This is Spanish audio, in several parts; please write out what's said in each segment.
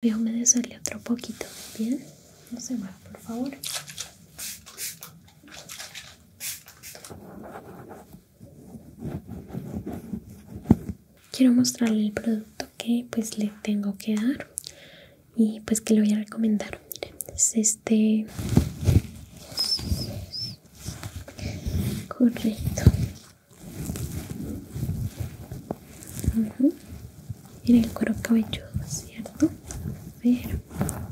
Voy a humedecerle otro poquito, ¿bien? No se mueva, por favor. Quiero mostrarle el producto que pues le tengo que dar y pues que le voy a recomendar. Miren, es este correcto en el cuero cabelludo, ¿cierto? A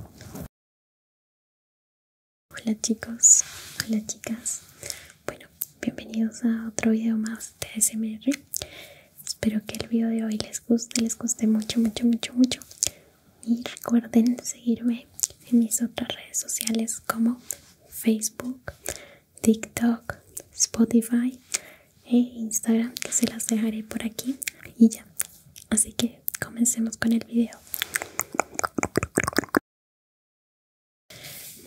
Hola chicos, hola chicas. Bueno, bienvenidos a otro video más de SMR. Espero que el video de hoy les guste, les guste mucho, mucho, mucho, mucho. Y recuerden seguirme en mis otras redes sociales como Facebook, TikTok, Spotify e Instagram que se las dejaré por aquí y ya. Así que comencemos con el video.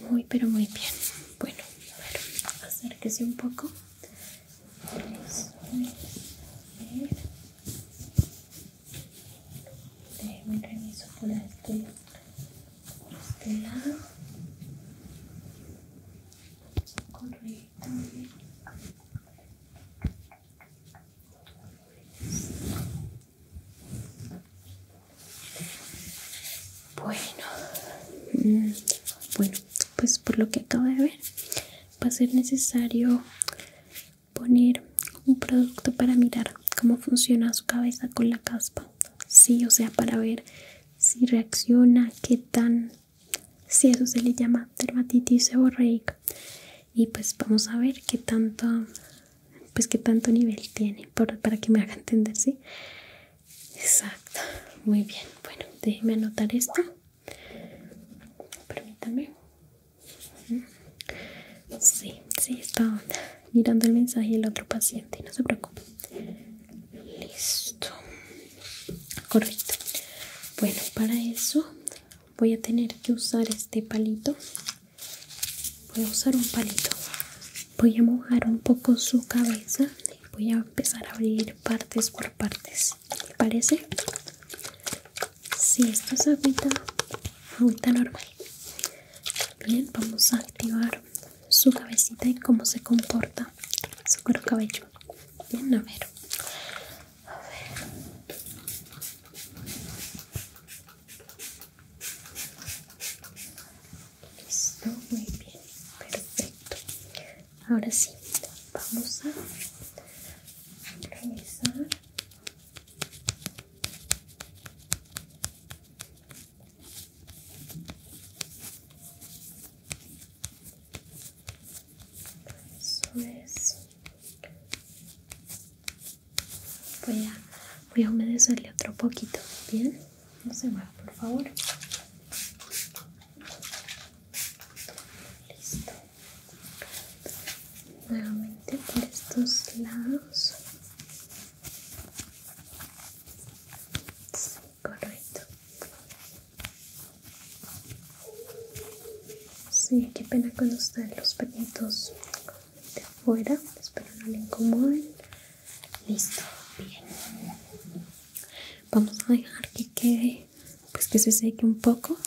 Muy pero muy bien. Bueno, a ver, acérquese un poco. Déjeme por este, este lado bueno bueno pues por lo que acabo de ver va a ser necesario poner un producto para mirar cómo funciona su cabeza con la caspa sí o sea para ver si reacciona, qué tan, si eso se le llama dermatitis seborreica y pues vamos a ver qué tanto, pues qué tanto nivel tiene para, para que me haga entender, ¿sí? Exacto, muy bien, bueno, déjeme anotar esto, permítame. Sí, sí, estaba mirando el mensaje del otro paciente, no se preocupe listo correcto bueno para eso voy a tener que usar este palito voy a usar un palito voy a mojar un poco su cabeza y voy a empezar a abrir partes por partes me parece si sí, esto es agüita normal bien vamos a activar su cabecita y cómo se comporta su cuero cabello. Bien, a ver. A ver. Listo, muy bien. Perfecto. Ahora sí, vamos a revisar. Eso Voy a, voy a humedecerle otro poquito, ¿bien? No se mueva, por favor. Listo. Nuevamente por estos lados correcto. Sí, qué pena cuando están los perritos de fuera Espero no le incomoden. Listo, bien. Vamos a dejar que quede, pues que se seque un poco.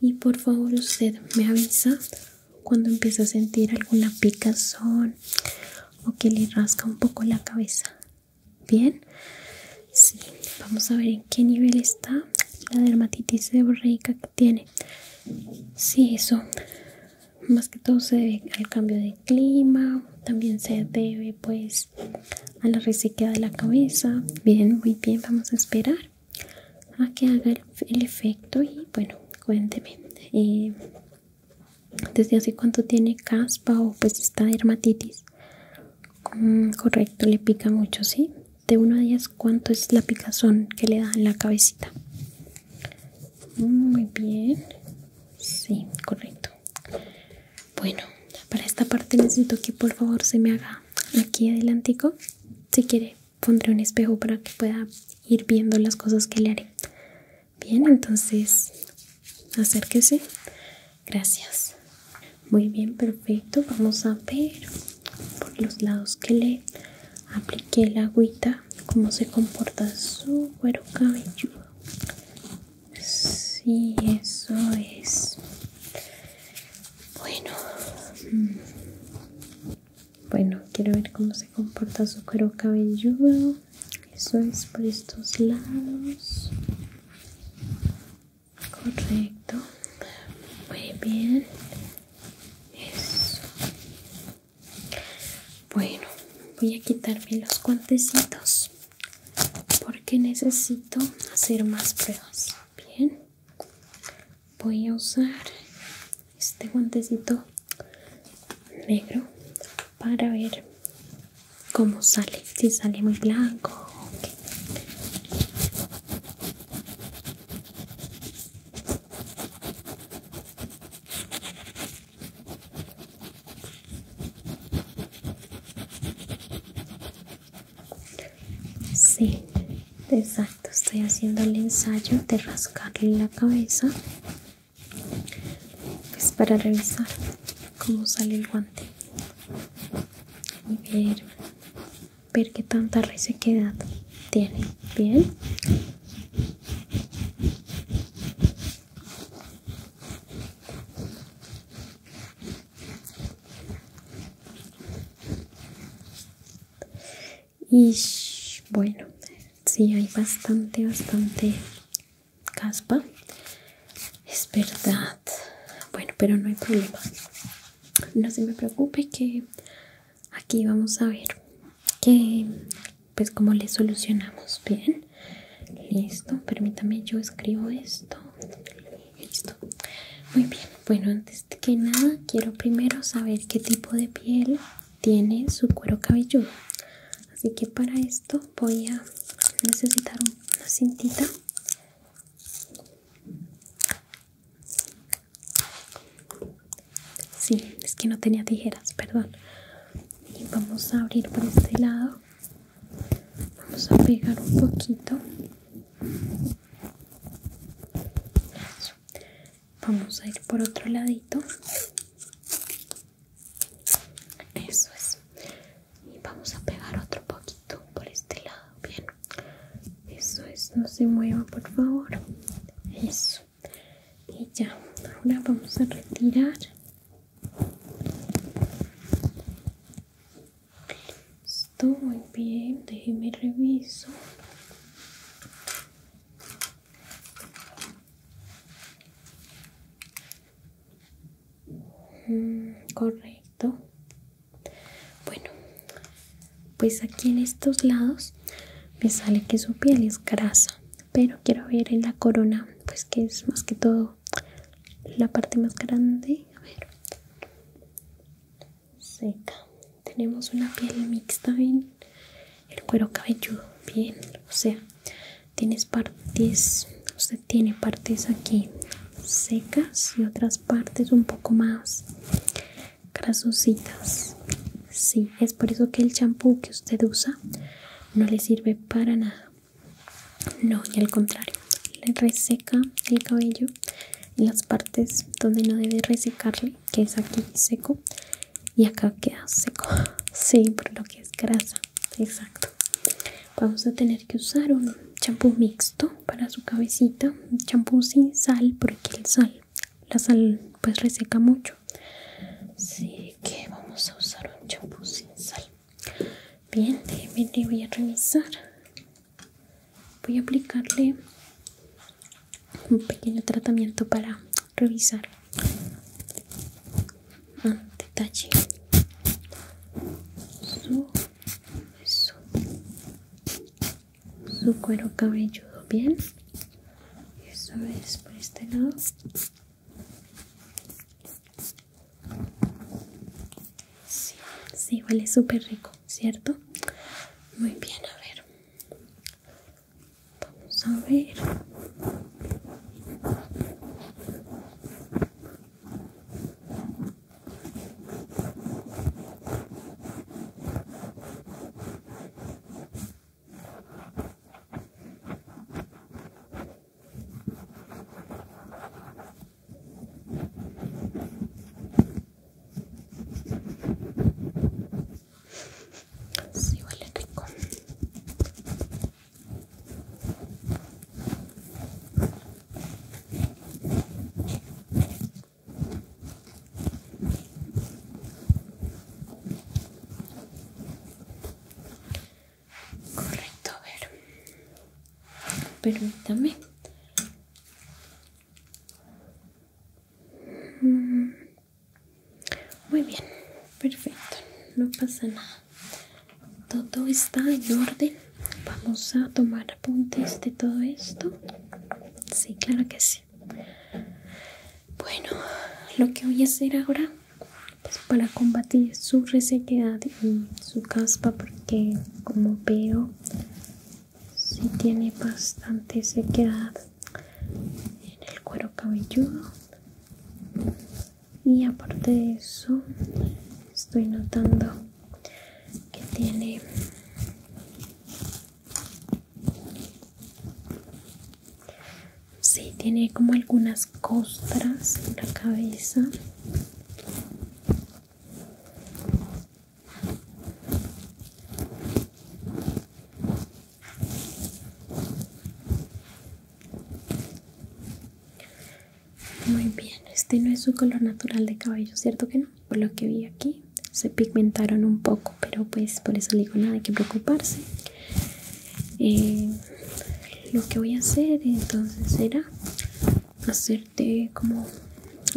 Y por favor usted me avisa cuando empieza a sentir alguna picazón o que le rasca un poco la cabeza. Bien, sí, vamos a ver en qué nivel está la dermatitis de borreica que tiene. Sí, eso más que todo se debe al cambio de clima, también se debe pues a la resequedad de la cabeza. Bien, muy bien, vamos a esperar a que haga el, efecto y bueno, cuénteme. Eh, ¿Desde hace cuánto tiene caspa o pues está dermatitis? Mm, correcto, le pica mucho, ¿sí? De 1 a 10, ¿cuánto es la picazón que le da en la cabecita? Muy bien, sí, correcto. Bueno, para esta parte necesito que por favor se me haga aquí adelantico. Si quiere, pondré un espejo para que pueda ir viendo las cosas que le haré. Bien, entonces acérquese. Gracias. Muy bien, perfecto. Vamos a ver por los lados que le apliqué la agüita, cómo se comporta su cuero cabelludo. Sí, eso es. Bueno. Mm. Bueno, quiero ver cómo se comporta su cuero cabelludo eso es por estos lados correcto muy bien eso bueno voy a quitarme los guantecitos porque necesito hacer más pruebas bien voy a usar este guantecito negro para ver cómo sale, si sale muy blanco. Sí, exacto, estoy haciendo el ensayo de rascarle la cabeza es pues para revisar cómo sale el guante y ver, ver qué tanta resequedad tiene. Bien. Y bueno, sí hay bastante, bastante caspa es verdad bueno pero no hay problema no se me preocupe que aquí vamos a ver que pues como le solucionamos bien listo permítame yo escribo esto listo muy bien bueno antes que nada quiero primero saber qué tipo de piel tiene su cuero cabelludo así que para esto voy a necesitar una cintita sí es que no tenía tijeras perdón y vamos a abrir por este lado vamos a pegar un poquito vamos a ir por otro ladito eso es. Y vamos a pegar otro poquito por este lado. Bien. Eso es. No se mueva, por favor. Eso. Y ya. Ahora vamos a retirar. Estoy Muy bien. Déjeme reviso. Mm, correcto. Bueno, pues aquí en estos lados me sale que su piel es grasa, pero quiero ver en la corona, pues que es más que todo la parte más grande. A ver. Seca. Tenemos una piel mixta ¿bien? el cuero cabelludo. Bien, o sea, tienes partes usted tiene partes aquí secas y otras partes un poco más grasositas sí es por eso que el champú que usted usa no le sirve para nada no y al contrario le reseca el cabello en las partes donde no debe resecarle que es aquí seco y acá queda seco sí por lo que es grasa exacto Vamos a tener que usar un champú mixto para su cabecita, champú sin sal porque el sal, la sal pues reseca mucho. Así que vamos a usar un champú sin sal. Bien, déjeme voy a revisar. Voy a aplicarle un pequeño tratamiento para revisar detalle su su cuero cabelludo bien eso es por este lado sí, sí huele súper rico cierto muy bien a ver vamos a ver Sí, eléctrico Correcto, a ver. Permítame. Mm. Muy bien, perfecto, no pasa nada todo está en orden vamos a tomar apuntes de todo esto sí claro que sí bueno lo que voy a hacer ahora es pues, para combatir su resequedad y su caspa porque como veo si tiene bastante sequedad en el cuero cabelludo y aparte de eso estoy notando que tiene sí tiene como algunas costras en la cabeza muy bien, este no es su color natural de cabello, ¿cierto que no? Por lo que vi aquí, se pigmentaron un poco, pero pues por eso le digo nada, hay que preocuparse. Eh, lo que voy a hacer entonces será hacerte como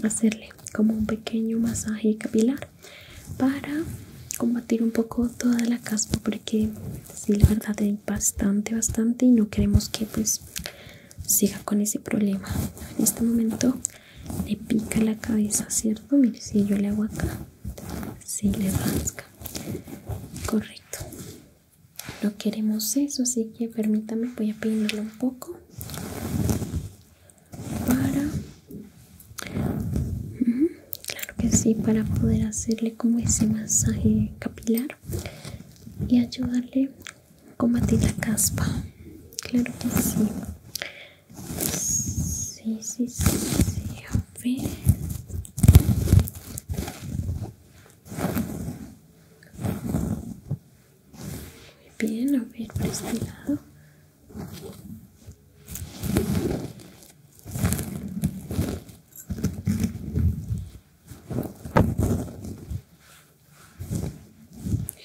hacerle como un pequeño masaje capilar para combatir un poco toda la caspa porque si la verdad eh, bastante bastante y no queremos que pues siga con ese problema en este momento le pica la cabeza cierto mire si yo le hago acá si le rasca correcto no queremos eso así que permítame voy a peinarlo un poco para Claro que sí, para poder hacerle como ese masaje capilar y ayudarle a combatir la caspa. Claro que sí. Sí, sí, sí, Muy bien, a ver, este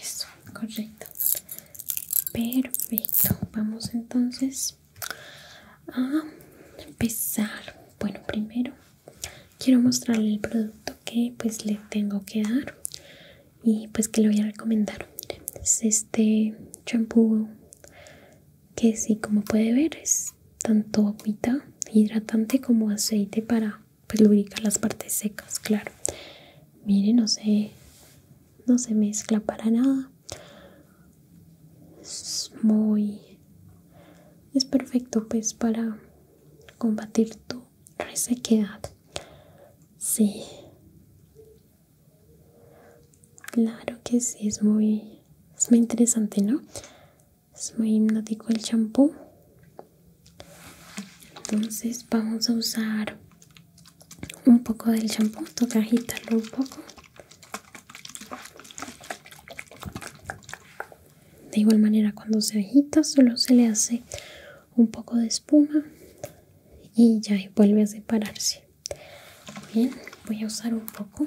eso, correcto. Perfecto. Vamos entonces a empezar. Bueno, primero quiero mostrarle el producto que pues le tengo que dar y pues que le voy a recomendar. Es este champú que si como puede ver, es tanto agüita hidratante como aceite para pues, lubricar las partes secas, claro. Mire, no se, no se mezcla para nada. Es muy... Es perfecto pues para combatir tu resequedad. Sí. Claro que sí, es muy, es muy interesante, ¿no? es muy hipnótico el champú entonces vamos a usar un poco del champú toca agitarlo un poco de igual manera cuando se agita solo se le hace un poco de espuma y ya vuelve a separarse bien voy a usar un poco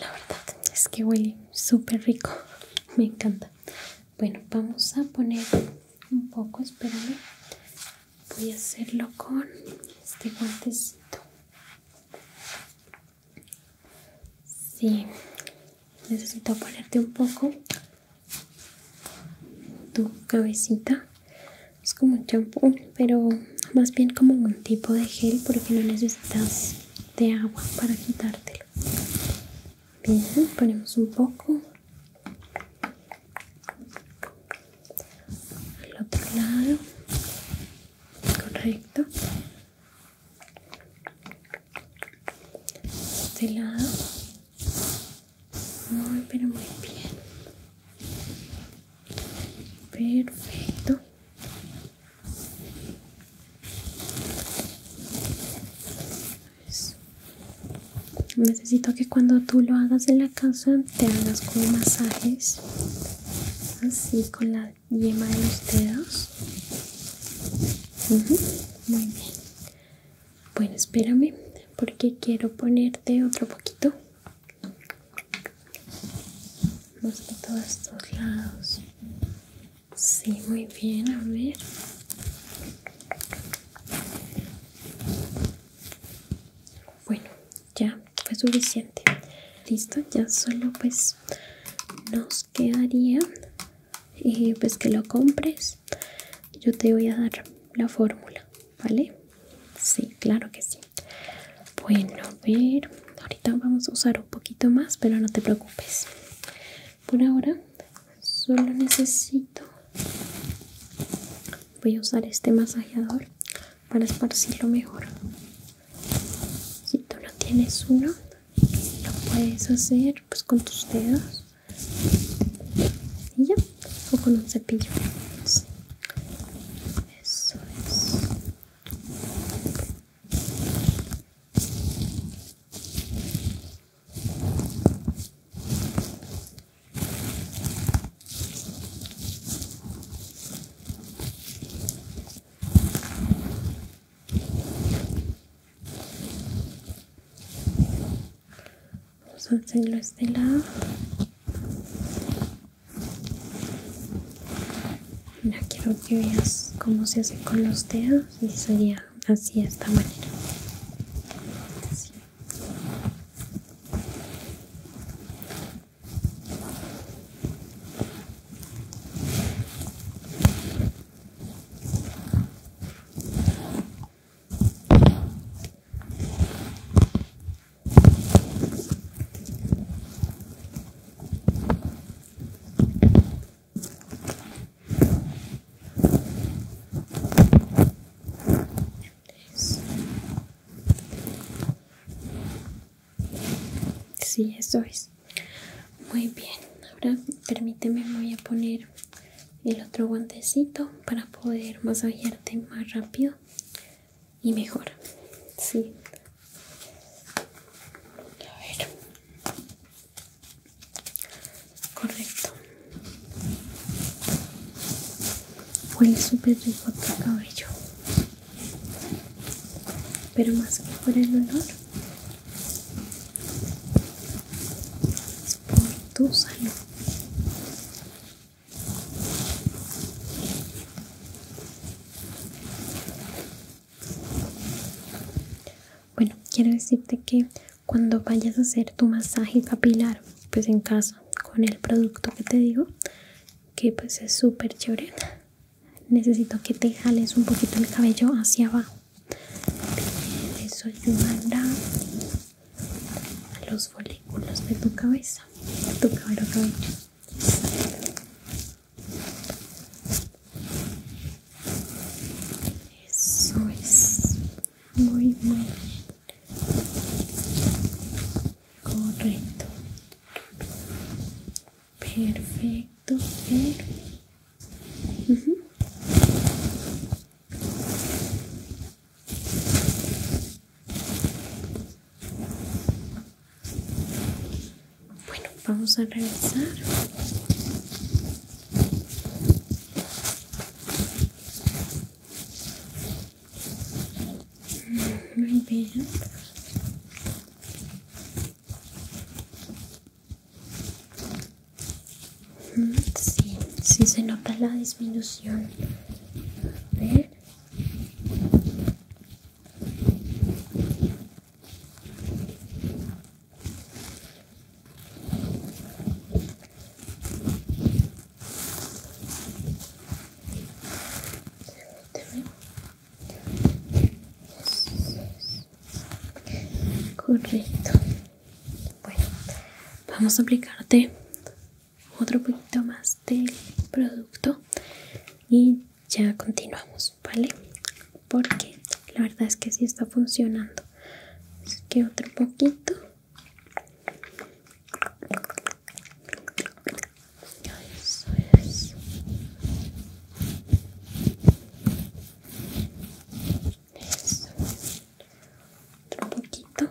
la verdad es que huele súper rico. Me encanta. Bueno, vamos a poner un poco, espérame. Voy a hacerlo con este guantecito. Sí, necesito ponerte un poco tu cabecita. Es como un champú pero más bien como un tipo de gel porque no necesitas de agua para quitártelo bien ponemos un poco al otro lado correcto este lado muy pero muy bien perfecto pues, necesito que cuando tú lo hagas en la casa te hagas como masajes así con la yema de los dedos muy bien bueno espérame porque quiero ponerte otro poquito Vamos a todos estos lados. Sí, muy bien, a ver. Bueno, ya fue suficiente. Listo, ya solo pues nos quedaría y eh, pues que lo compres. Yo te voy a dar la fórmula, ¿vale? Sí, claro que sí. Bueno, a ver, ahorita vamos a usar un poquito más, pero no te preocupes. Por ahora solo necesito... Voy a usar este masajeador para esparcirlo mejor. Si tú no tienes uno, lo puedes hacer pues con tus dedos. Y ya, o con un cepillo. Eso es. Vamos a hacerlo este lado ya quiero que veas cómo se hace con los dedos y sería así de esta manera. Sí, eso es. Muy bien. Ahora permíteme, voy a poner el otro guantecito para poder masajearte más rápido y mejor. Sí. A ver. Correcto. Huele súper rico tu cabello. Pero más que por el olor, es por tu salud. Bueno, quiero decirte que cuando vayas a hacer tu masaje capilar, pues en casa, con el producto que te digo, que pues es súper chévere, necesito que te jales un poquito el cabello hacia abajo. eso ayudará a los folículos de tu cabeza, tu cabello cabello. Eso es. Muy, muy Correcto. Perfecto. perfecto. Bueno, vamos a revisar. Mm, muy bien. Mm, sí, sí se nota la disminución. A ver. Correcto. Bueno, vamos a aplicarte otro poquito más del este producto y ya continuamos vale porque la verdad es que sí está funcionando es que otro poquito eso eso otro poquito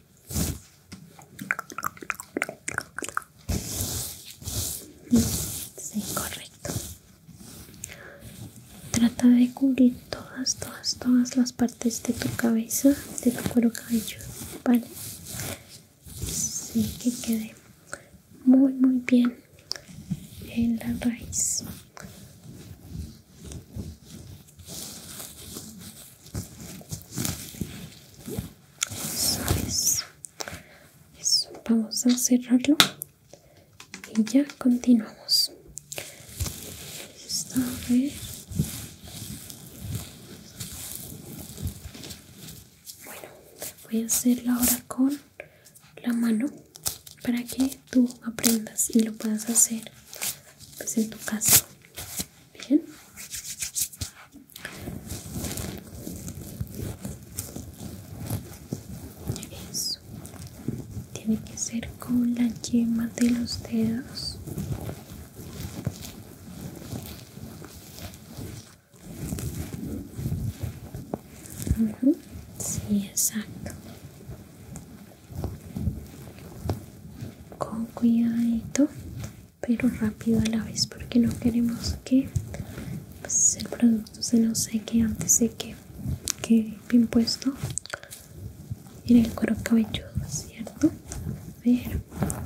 Sí, correcto. Trata de cubrir todas, todas, todas las partes de tu cabeza, de tu cuero cabelludo, ¿vale? Sí, que quede muy, muy bien en la raíz. Eso vamos a cerrarlo y ya continuamos. a Bueno, voy a hacerlo ahora con la mano para que tú aprendas y lo puedas hacer pues, en tu casa. Bien. Eso. Tiene que ser con la yema de los dedos. Sí, exacto con cuidadito pero rápido a la vez porque no queremos que pues, el producto se nos seque antes de que quede bien puesto en el cuero cabelludo cierto a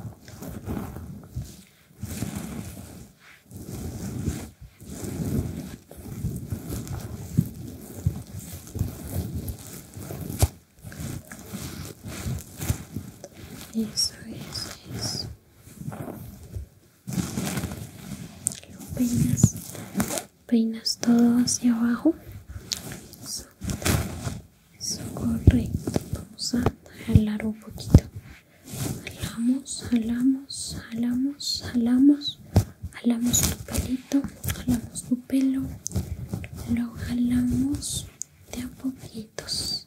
eso es, eso. Lo peinas, peinas todo hacia abajo. Eso, eso correcto. Vamos a jalar un poquito. Jalamos, jalamos, jalamos, jalamos. Jalamos tu pelito, jalamos tu pelo, lo jalamos de a poquitos.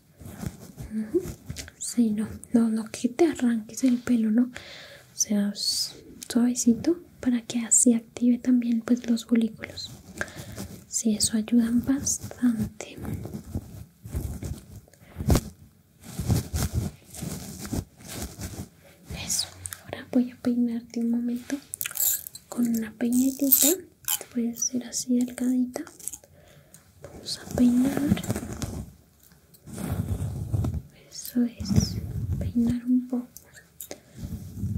si, no, no, no que te arranques el pelo, ¿no? O sea, suavecito para que así active también pues los folículos. si eso ayuda bastante. Eso, ahora voy a peinarte un momento con una peinetita puede ser así delgadita. Vamos a peinar. Eso es. Peinar un poco.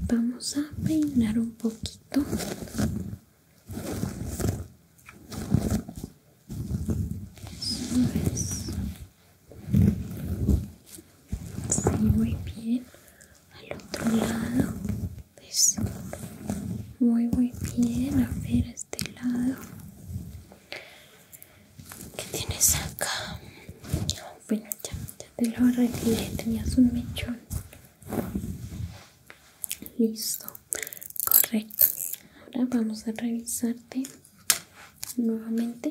Vamos a peinar un poquito. Eso es. muy bien. Al otro lado. Pues, muy, muy bien. A ver, este lado. ¿Qué tienes acá? Bueno, ya, ya te lo arreglé. Tenías un mechón. Listo. Correcto. Ahora vamos a revisarte nuevamente.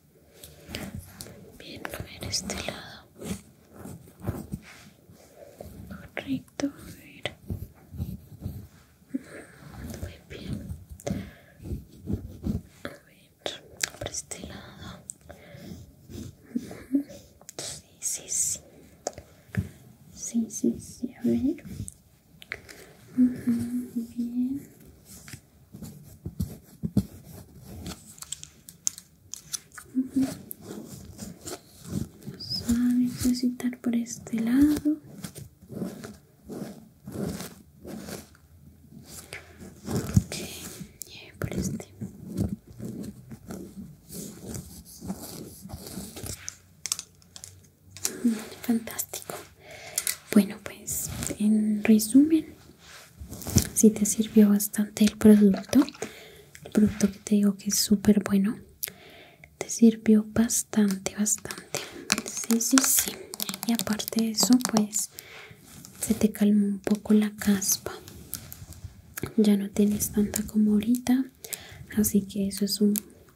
Bien, a ver este lado. Correcto, a ver. Muy bien. A ver, por este lado. Sí, sí, sí. Sí, sí, sí, a ver. Bien. Vamos a necesitar por este lado. Por este. Mm, fantástico. Bueno, pues en resumen si te sirvió bastante el producto el producto que te digo que es súper bueno te sirvió bastante bastante sí sí sí y aparte de eso pues se te calma un poco la caspa ya no tienes tanta como ahorita así que eso es un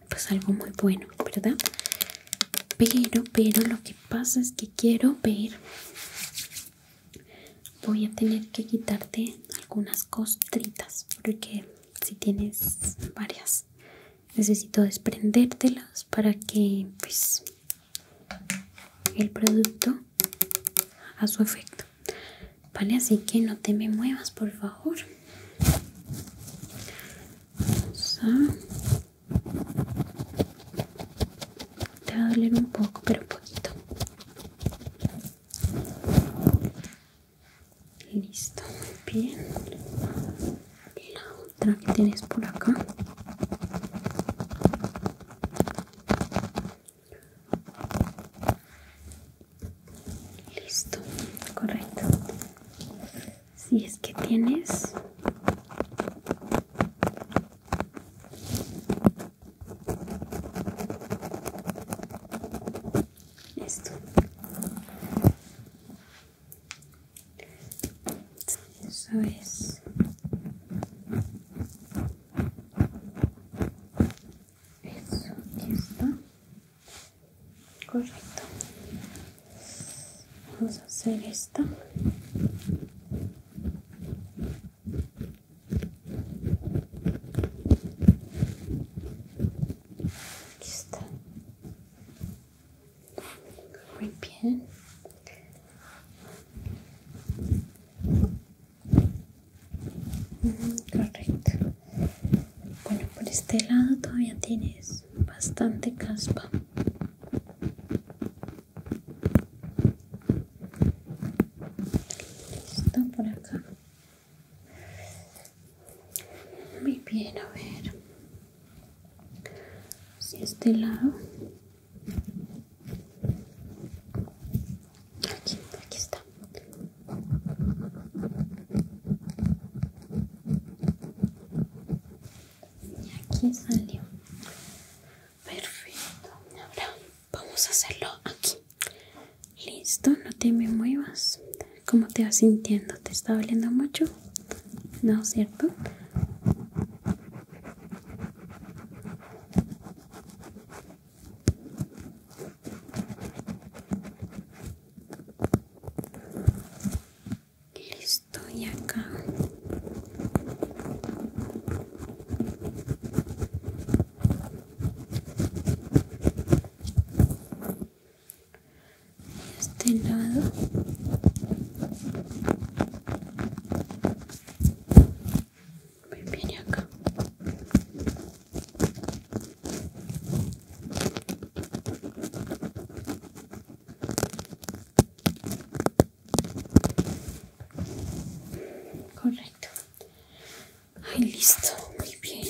pues algo muy bueno verdad pero pero lo que pasa es que quiero ver voy a tener que quitarte algunas costritas porque si tienes varias necesito desprendértelas para que pues el producto a su efecto vale así que no te me muevas por favor te va a doler un poco, pero poquito. Listo, bien. Y la otra que tienes por acá. Listo, correcto. Si es que tienes Listo. Eso es. Eso, aquí está. Correcto vamos a hacer esta está muy bien mm, correcto bueno por este lado todavía tienes bastante caspa Está por acá. Muy bien, a ver. si este lado. Aquí, aquí está. Y aquí salió. Perfecto. Ahora vamos a hacerlo aquí. Listo, no te me muevas. ¿Cómo te vas sintiendo? ¿Te está doliendo mucho? No, ¿cierto? Listo estoy acá este lado me viene acá Correcto. ahí listo. Muy bien.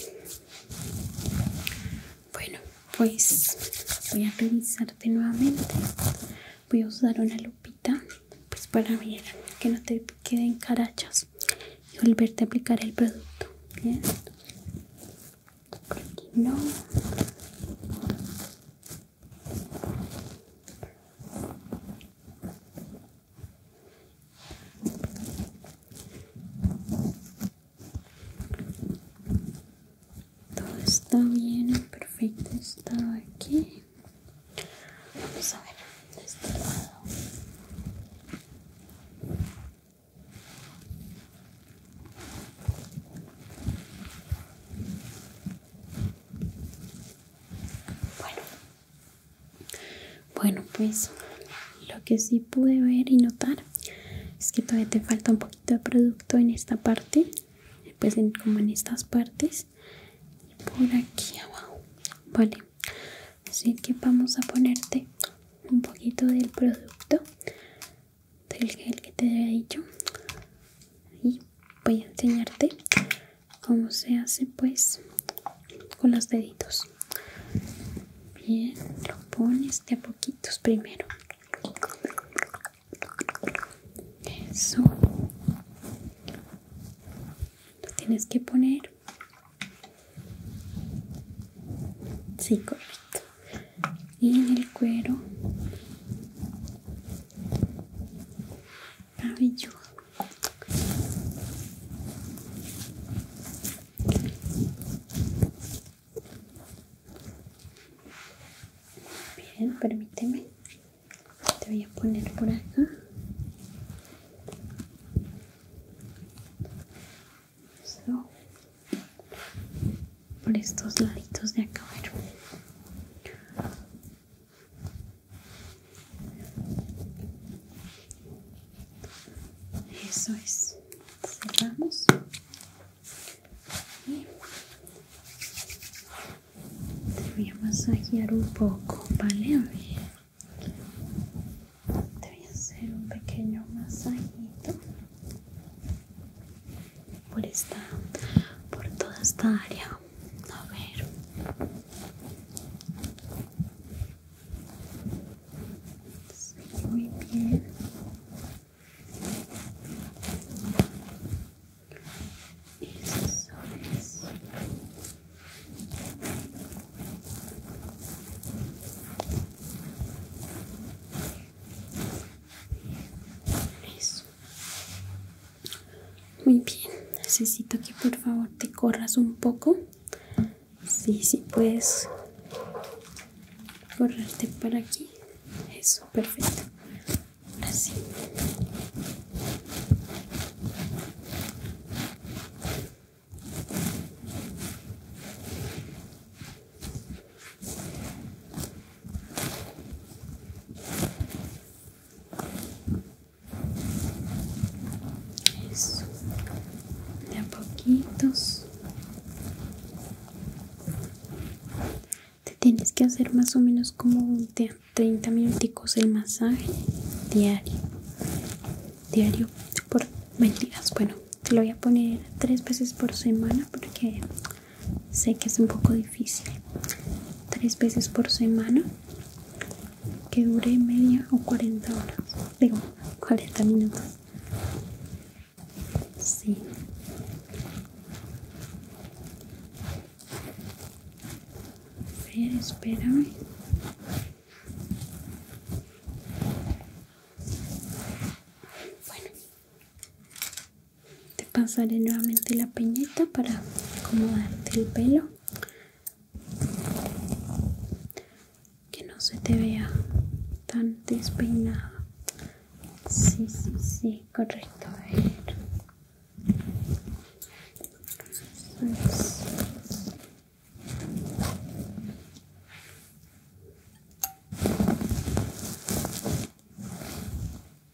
Bueno, pues voy a revisarte nuevamente. Voy a usar una lupita pues para ver que no te queden carachas y volverte a aplicar el producto. Bien. Aquí no. Todo está bien, perfecto está aquí. Vamos a ver de este lado. Bueno, pues lo que sí pude ver y notar es que todavía te falta un poquito de producto en esta parte, pues, como en estas partes y por aquí abajo, vale. Así que vamos a ponerte un poquito del producto del gel que te había dicho y voy a enseñarte cómo se hace pues con los deditos bien lo pones de a poquitos primero eso lo tienes que poner sí correcto y el cuero bien permíteme te voy a poner por acá por estos laditos de acá eso es. Cerramos. Y te voy a masajear un poco, ¿vale? A Te voy a hacer un pequeño masajito por esta por toda esta área a ver muy bien eso muy bien, necesito que por favor te corras un poco. Sí, sí, puedes correrte para aquí. Eso, perfecto. Así. Eso. De a poquitos. Te tienes que hacer más o menos como 30 minuticos el masaje diario. Diario por mentiras. Bueno, te lo voy a poner tres veces por semana porque sé que es un poco difícil tres veces por semana que dure media o cuarenta horas digo cuarenta minutos sí espérame bueno te pasaré nuevamente la peñita para acomodarte el pelo que no se te vea tan despeinada. sí sí sí correcto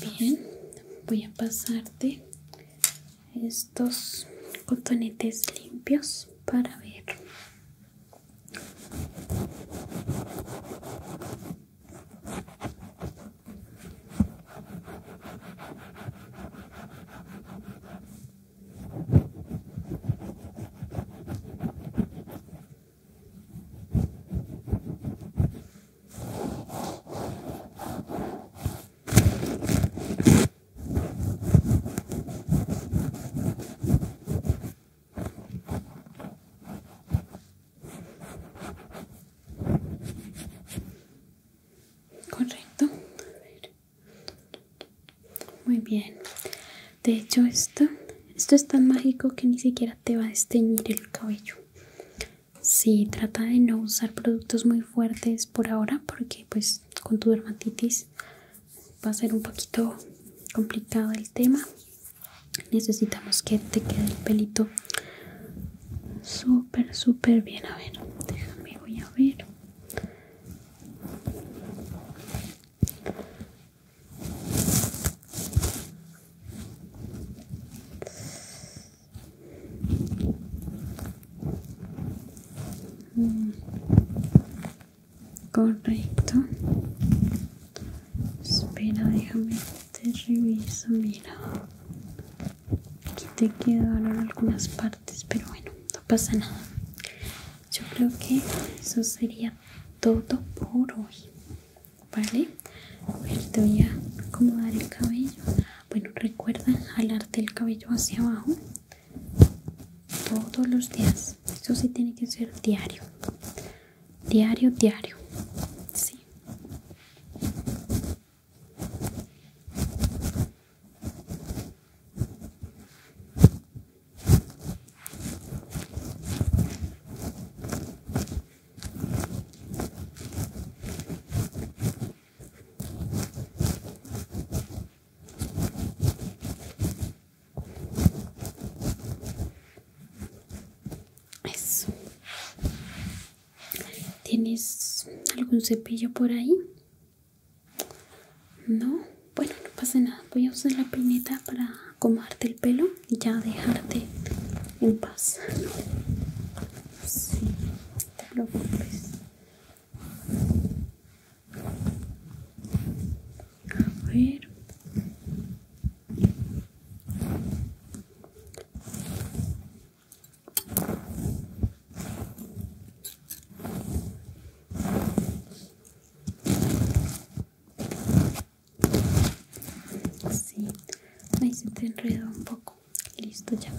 Muy bien. Voy a pasarte estos cotonetes limpios para ver. Correcto. Muy bien. De hecho, esto, esto es tan mágico que ni siquiera te va a desteñir el cabello. Sí, trata de no usar productos muy fuertes por ahora porque pues con tu dermatitis va a ser un poquito complicado el tema. Necesitamos que te quede el pelito súper, súper bien. A ver, déjame, voy a ver. Mm. correcto espera déjame te reviso mira aquí te quedaron algunas partes pero bueno no pasa nada yo creo que eso sería todo por hoy vale te voy a acomodar el cabello bueno recuerda jalarte el cabello hacia abajo todos los días eso sí tiene que ser diario diario diario sí ¿Tienes algún cepillo por ahí? No. Bueno, no pasa nada. Voy a usar la pineta para comarte el pelo y ya dejarte en paz. te A ver. Sí, ahí se te enreda un poco. Listo ya.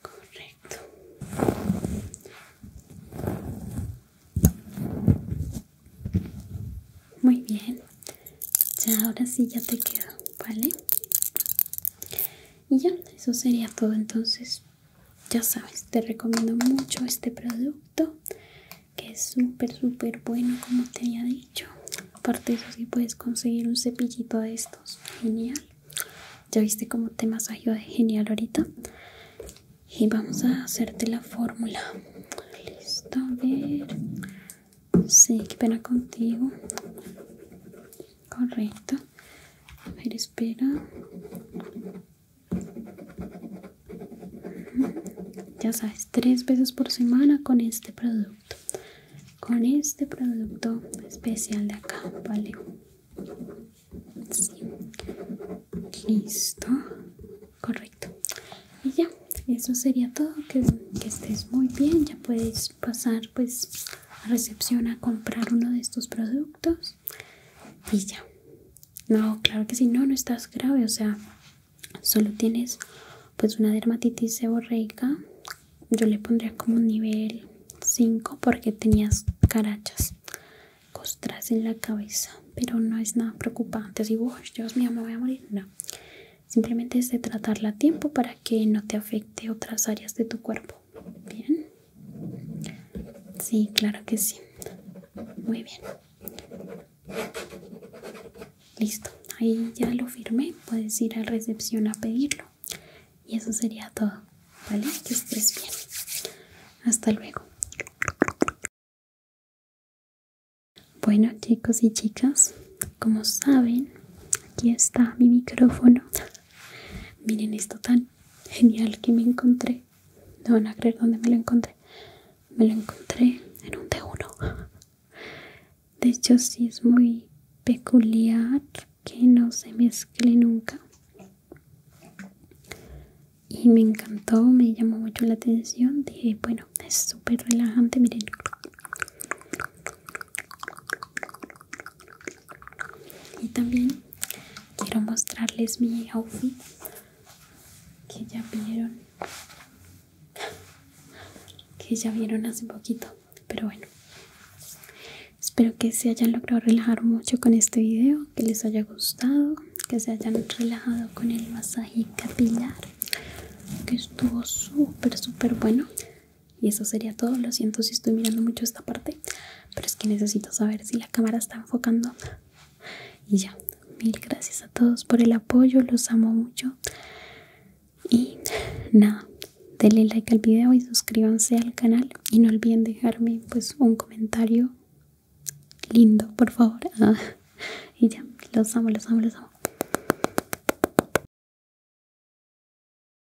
Correcto. Muy bien. Ya ahora sí ya te quedó, ¿vale? y ya eso sería todo entonces ya sabes te recomiendo mucho este producto que es súper súper bueno como te había dicho aparte de eso sí puedes conseguir un cepillito de estos genial ya viste cómo te masajeó genial ahorita y vamos a hacerte la fórmula listo a ver sí qué pena contigo correcto a ver espera ya sabes tres veces por semana con este producto con este producto especial de acá vale listo correcto y ya eso sería todo que, que estés muy bien ya puedes pasar pues a recepción a comprar uno de estos productos y ya no claro que si no no estás grave o sea solo tienes pues una dermatitis seborreica yo le pondría como nivel 5 porque tenías carachas costras en la cabeza pero no es nada preocupante así wow dios mío me voy a morir no simplemente es de tratarla a tiempo para que no te afecte otras áreas de tu cuerpo Bien. Sí, claro que sí. Muy bien. Listo. Ahí ya lo firmé. Puedes ir a recepción a pedirlo. Y eso sería todo. ¿Vale? Que estés bien. Hasta luego. Bueno chicos y chicas, como saben, aquí está mi micrófono. Miren esto tan genial que me encontré. No van a creer dónde me lo encontré. Me lo encontré en un T1. De hecho, sí es muy peculiar que no se mezcle nunca. Y me encantó, me llamó mucho la atención. Dije, bueno, es súper relajante. Miren y también quiero mostrarles mi outfit que ya vieron que ya vieron hace poquito pero bueno espero que se hayan logrado relajar mucho con este video que les haya gustado que se hayan relajado con el masaje capilar que estuvo súper súper bueno y eso sería todo. Lo siento si estoy mirando mucho esta parte, pero es que necesito saber si la cámara está enfocando. Y ya, mil gracias a todos por el apoyo, los amo mucho. Y nada, denle like al video y suscríbanse al canal. Y no olviden dejarme pues un comentario lindo, por favor. Ah, y ya, los amo, los amo, los amo.